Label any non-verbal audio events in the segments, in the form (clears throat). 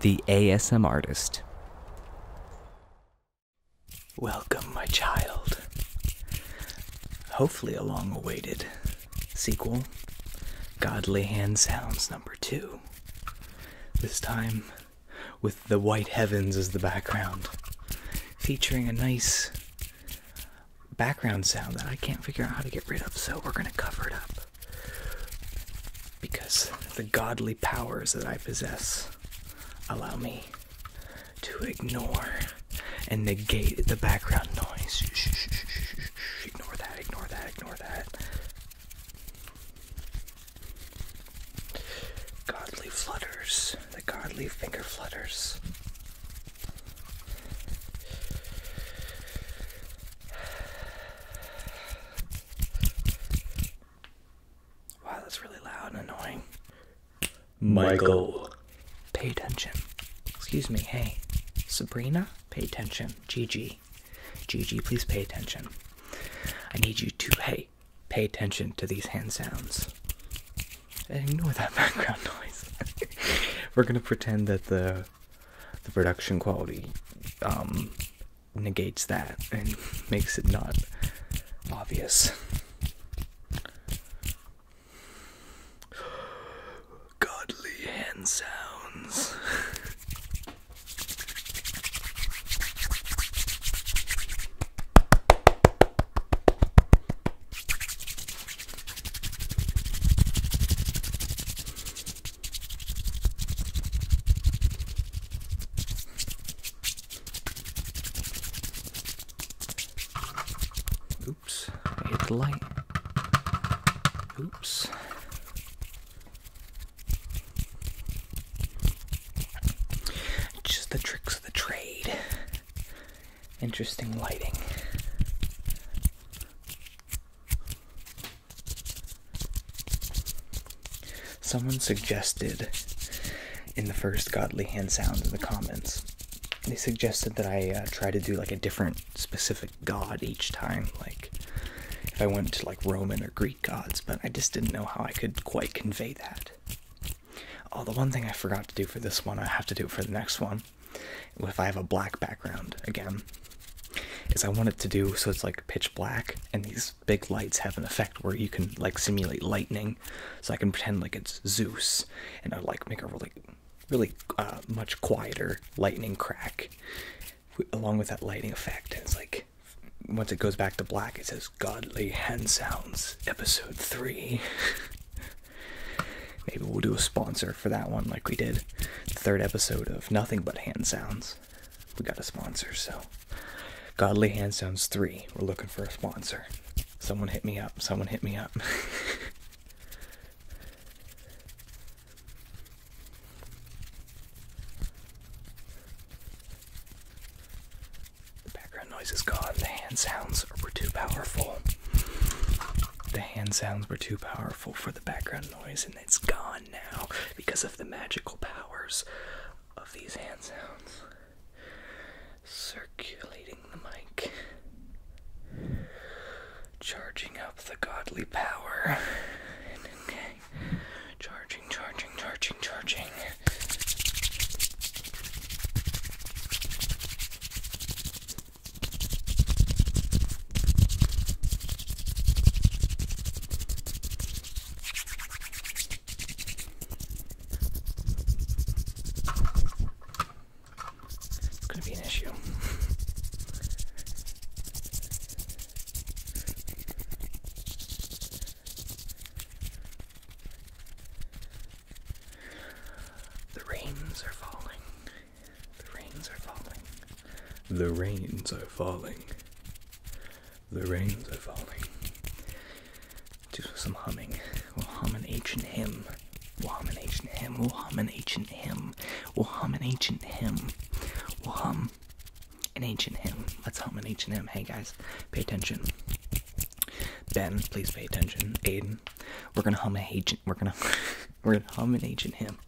The ASM Artist. Welcome, my child. Hopefully, a long awaited sequel Godly Hand Sounds number two. This time with the white heavens as the background, featuring a nice background sound that I can't figure out how to get rid of, so we're gonna cover it up because the godly powers that I possess allow me to ignore and negate the background noise. Ignore that, ignore that, ignore that. Godly flutters, the godly finger flutters. Wow, that's really loud and annoying. Michael. Pay attention. Excuse me. Hey, Sabrina, pay attention. Gg, Gg, please pay attention. I need you to, hey, pay attention to these hand sounds. ignore that (laughs) background noise. We're gonna pretend that the the production quality um, negates that and (laughs) makes it not obvious. Godly hand sounds. Oops, I hit the light. Oops. Just the tricks of the trade. Interesting lighting. Someone suggested in the first Godly Hand Sound in the comments, they suggested that I uh, try to do like a different specific god each time. Like if I went to like Roman or Greek gods, but I just didn't know how I could quite convey that. Oh, the one thing I forgot to do for this one, I have to do it for the next one, if I have a black background again, is I want it to do so it's like pitch black, and these big lights have an effect where you can like simulate lightning, so I can pretend like it's Zeus, and I like make a really, really uh, much quieter lightning crack, along with that lighting effect. And it's like once it goes back to black, it says "Godly Hand Sounds Episode 3. (laughs) Maybe we'll do a sponsor for that one, like we did the third episode of Nothing But Hand Sounds. We got a sponsor, so Godly Hand Sounds 3. We're looking for a sponsor. Someone hit me up. Someone hit me up. (laughs) the background noise is gone. The hand sounds were too powerful. The hand sounds were too powerful for the background noise and it's gone now because of the magical powers of these hands. sounds circulating the mic charging up the godly power and charging charging charging charging going to be an issue. The rains are falling. The rains are falling. The rains are falling. The rains are falling. Do some humming. We'll hum an ancient hymn. We'll hum an ancient hymn. We'll hum an ancient hymn. We'll hum an ancient hymn. We'll hum an ancient hymn. Let's hum an ancient hymn. Hey guys, pay attention. Ben, please pay attention. Aiden, we're gonna hum an ancient. We're gonna. (laughs) We're gonna hum an H in him.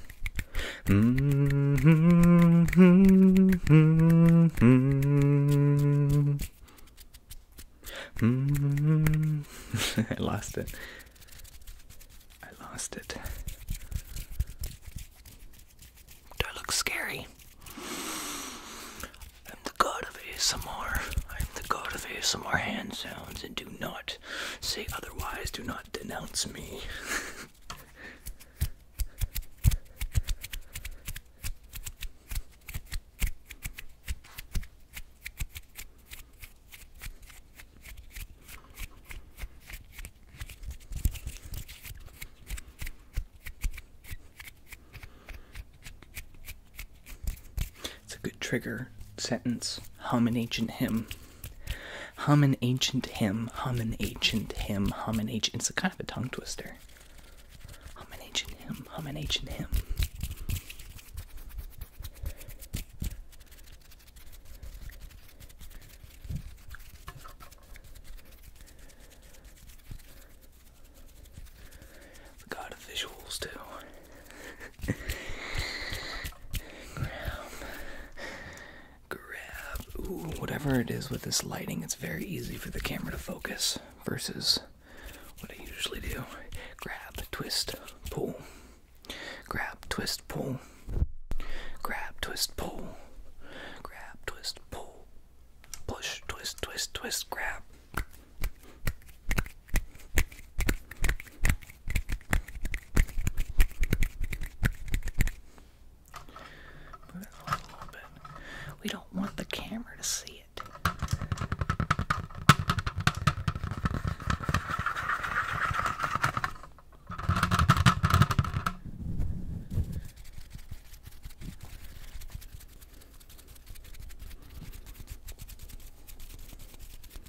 (laughs) Mm-hmm. (laughs) I lost it. I lost it. Do I look scary? I'm the god of ASMR. I'm the god of ASMR hand sounds and do not say otherwise, do not denounce me. It's a good trigger sentence. Hum an ancient hymn. Hum an ancient hymn. Hum an ancient hymn. Hum an ancient. It's a kind of a tongue twister. Hum an ancient hymn. Hum an ancient hymn. The god of visuals too grab, grab. whatever it is with this lighting, it's very easy for the camera to focus versus what I usually do. Grab, twist, pull. Grab, twist, pull. Grab, twist, pull. Grab, twist, pull. Push, twist, twist, twist, grab. Move it a little bit. We don't want the camera to see it.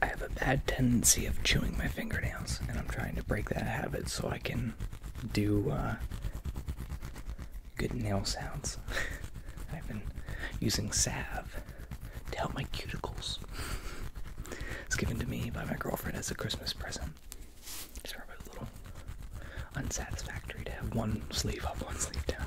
I have a bad tendency of chewing my fingernails, and I'm trying to break that habit so I can do uh, good nail sounds. (laughs) I've been using salve to help my cuticles. It's given to me by my girlfriend as a Christmas present. Just a little unsatisfactory to have one sleeve up, one sleeve down.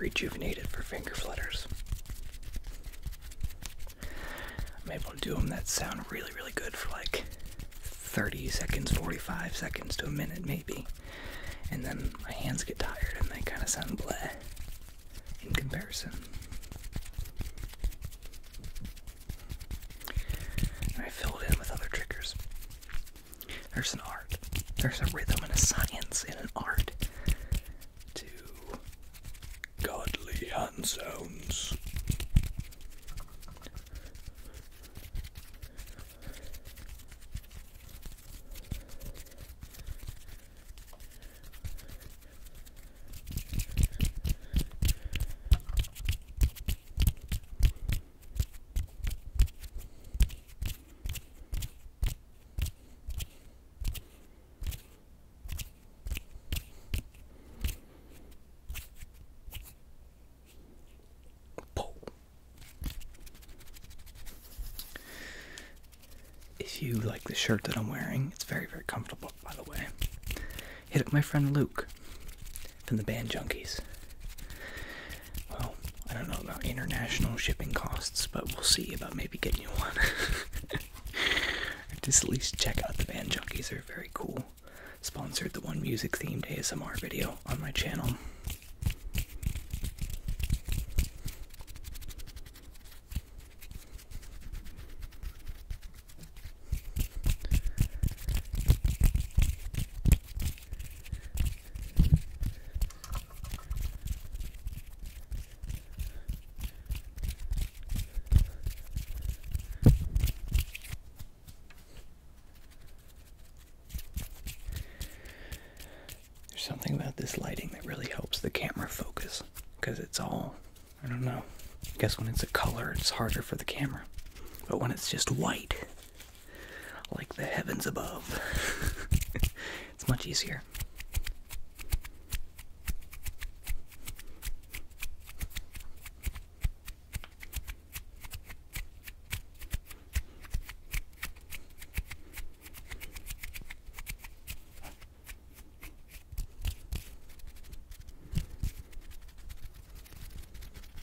rejuvenated for finger flutters. I'm able to do them that sound really, really good for like 30 seconds, 45 seconds to a minute, maybe. And then my hands get tired and they kind of sound blah. in comparison. And I filled in with other triggers. There's an art. There's a rhythm and a science in an art to godly hand if you like the shirt that I'm wearing, it's very, very comfortable, by the way. Hit up my friend Luke from the band Junkies. Well, I don't know about international shipping costs, but we'll see about maybe getting you one. (laughs) Just at least check out the band junkies, they're very cool. Sponsored the one music themed ASMR video on my channel. There's something about this lighting that really helps the camera focus because it's all, I don't know. I guess when it's a color, it's harder for the camera. But when it's just white, like the heavens above. (laughs) it's much easier.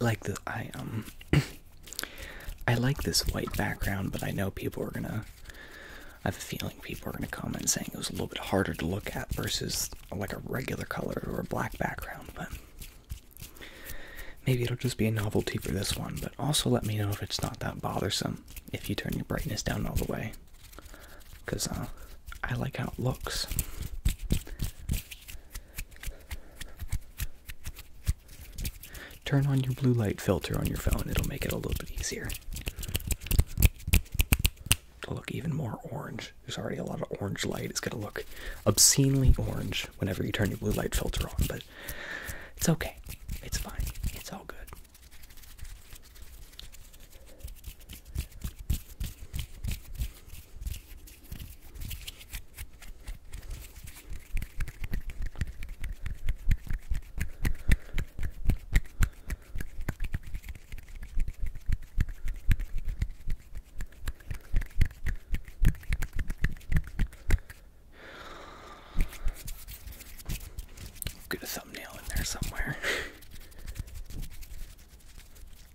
like the I um (clears throat) I like this white background, but I know people are gonna I have a feeling people are gonna comment saying it was a little bit harder to look at versus like a regular color or a black background, but maybe it'll just be a novelty for this one, but also let me know if it's not that bothersome if you turn your brightness down all the way. Cause uh, I like how it looks. Turn on your blue light filter on your phone, it'll make it a little bit easier to look even more orange. There's already a lot of orange light, it's gonna look obscenely orange whenever you turn your blue light filter on, but it's okay, it's fine, it's all good. Get a thumbnail in there somewhere. (laughs)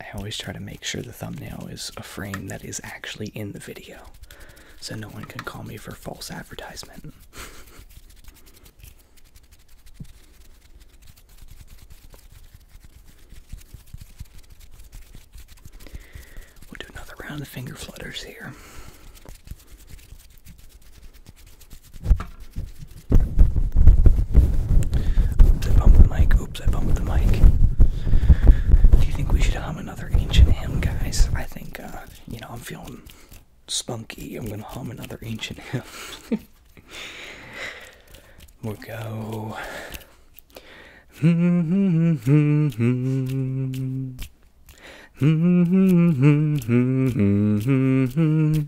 I always try to make sure the thumbnail is a frame that is actually in the video so no one can call me for false advertisement. (laughs) we'll do another round of finger flutters here. Oops, I bumped the mic. Oops, I bumped the mic. Do you think we should hum another ancient hymn, guys? I think, uh, you know, I'm feeling spunky. I'm gonna hum another ancient hymn. (laughs) we'll go. (laughs)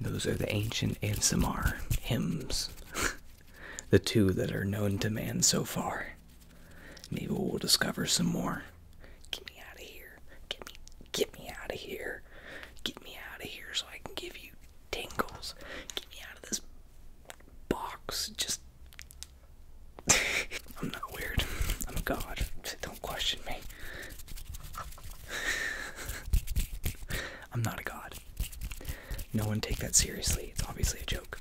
Those are the ancient ASMR hymns, (laughs) the two that are known to man so far. Maybe we'll discover some more. Get me out of here. Get me, get me out of here. Get me out of here so I can give you tingles. Get me out of this box. Just. (laughs) I'm not weird. I'm a god. Don't question me. (laughs) I'm not a god. No one take that seriously. It's obviously a joke.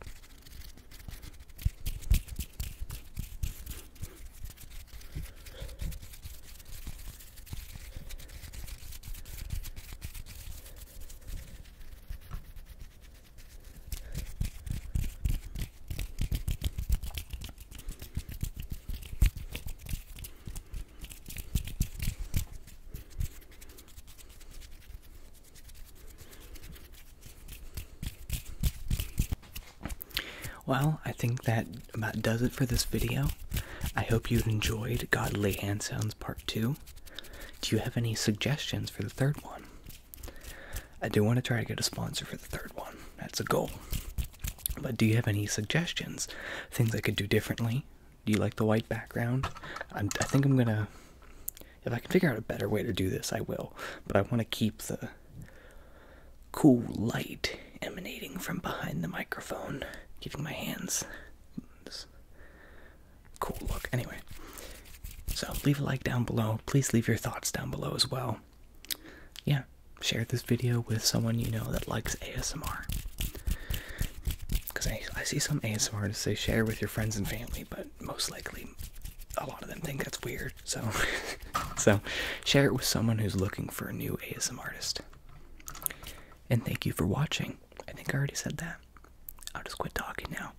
Well, I think that about does it for this video. I hope you enjoyed Godly Hand Sounds Part 2. Do you have any suggestions for the third one? I do want to try to get a sponsor for the third one. That's a goal. But do you have any suggestions? Things I could do differently? Do you like the white background? I think I'm gonna. If I can figure out a better way to do this, I will. But I want to keep the cool light emanating from behind the microphone, giving my hands this cool look. Anyway, so leave a like down below. Please leave your thoughts down below as well. Yeah, share this video with someone you know that likes ASMR. Because I, I see some ASMR ASMRs they share with your friends and family, but most likely a lot of them think that's weird. So, (laughs) so share it with someone who's looking for a new ASMR artist. And thank you for watching. I think I already said that. I'll just quit talking now.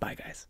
Bye, guys.